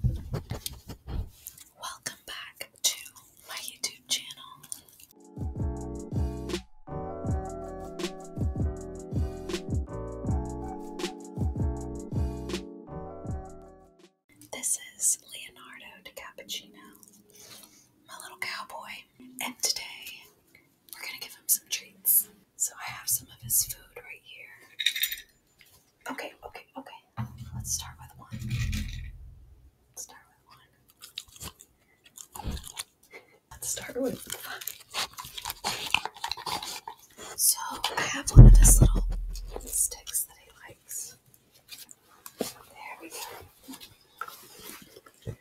Welcome back to my YouTube channel. This is Leonardo DiCappuccino, my little cowboy, and today we're gonna give him some treats. So I have some of his food right here. Okay, okay, okay. Let's start with one. start with one. Let's start with five. So I have one of his little sticks that he likes. There we go.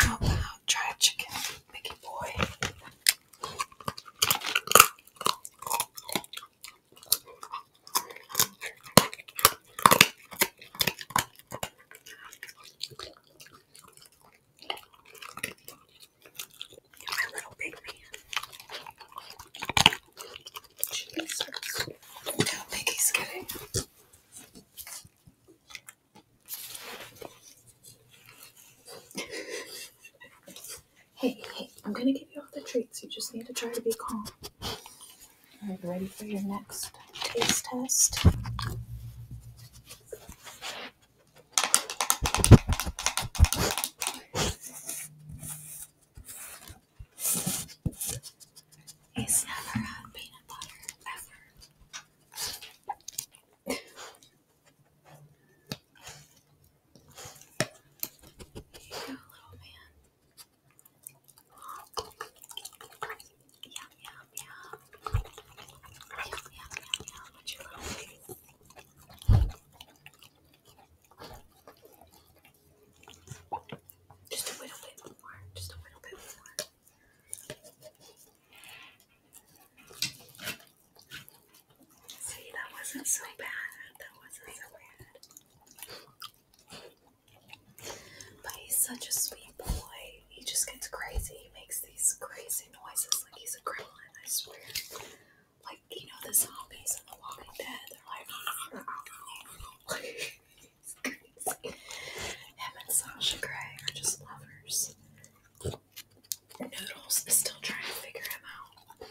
Oh, wow i try a chicken, Mickey boy. My little big man. Jesus. Mickey's getting Hey, hey, I'm gonna give you all the treats. You just need to try to be calm. Alright, ready for your next taste test? He's never had peanut butter, ever. Cute little man. Yum, yum, yum. Yum, yum, yum, yum. your little face? Just a little bit more. Just a little bit more. See, that wasn't so bad. That wasn't so bad. But he's such a sweet boy. He just gets crazy. He makes these crazy noises like he's a criminal. I swear. Like, you know, the zombies in The Walking Dead, they're like, he's and Sasha Gray are just lovers. Noodles still trying to figure him out.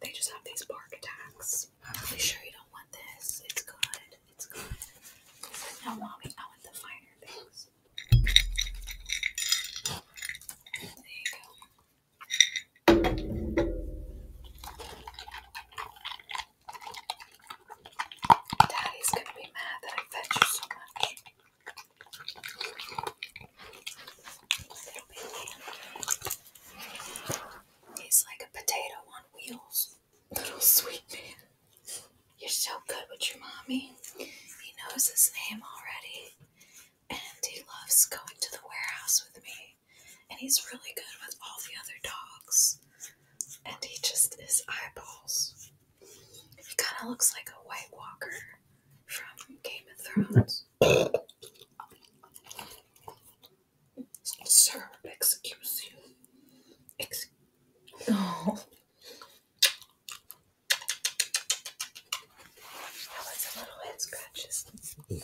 They just have these bark attacks. Are sure you don't want this? It's good. It's good. No, mommy, I want the finer things. There you go. Daddy's gonna be mad that I fed you so much. He's like a potato on wheels. Little sweet man. You're so good with your mommy. He knows his name already. And he loves going to the warehouse with me. And he's really good with all the other dogs. And he just is eyeballs. He kind of looks like a White Walker from Game of Thrones. Sir, excuse you. Excuse. Oh. That was a little head scratches. You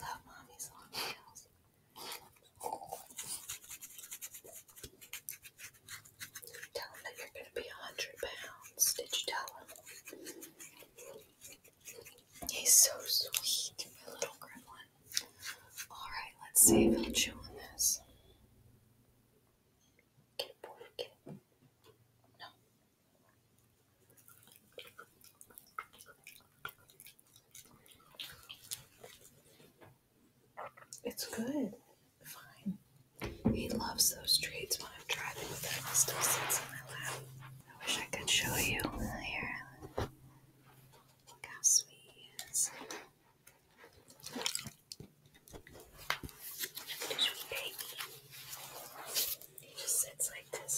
love mommy's long nails. Tell him that you're going to be a hundred pounds. Did you tell him? He's so sweet, little gremlin. Alright, let's see if he'll chew on this. No. It's good. Fine. He loves those treats when I'm driving with him. He still sits in my lap. I wish I could show you. Here. Look how sweet he is. Sweet baby. He just sits like this.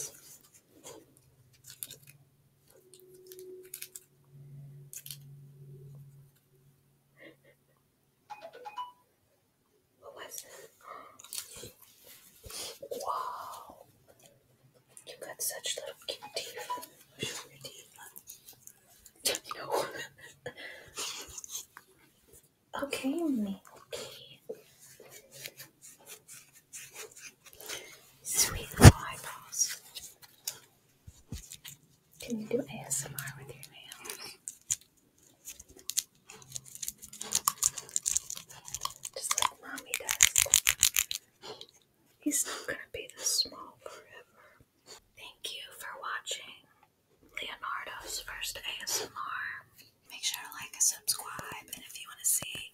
What was that? Wow. You got such little cute teeth. Show your teeth. no. okay, Milky. Sweet little can you do ASMR with your nails? Just like mommy does. He's not gonna be this small forever. Thank you for watching Leonardo's first ASMR. Make sure to like and subscribe, and if you want to see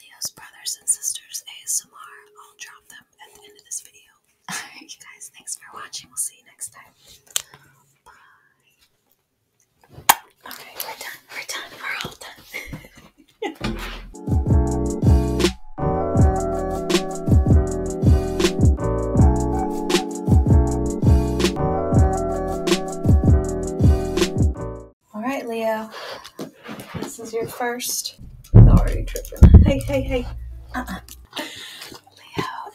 Leo's brothers and sisters ASMR, I'll drop them at the end of this video alright you guys, thanks for watching. We'll see you next time. Bye. Alright, we're done. We're done. We're all done. alright, Leo. This is your first. Sorry, tripping. Hey, hey, hey. Uh-uh.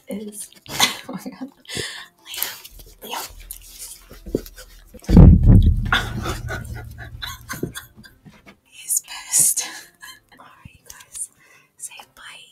Leo is. Oh my god. Leo. Leo. He's pissed. Alright, you guys. Say bye.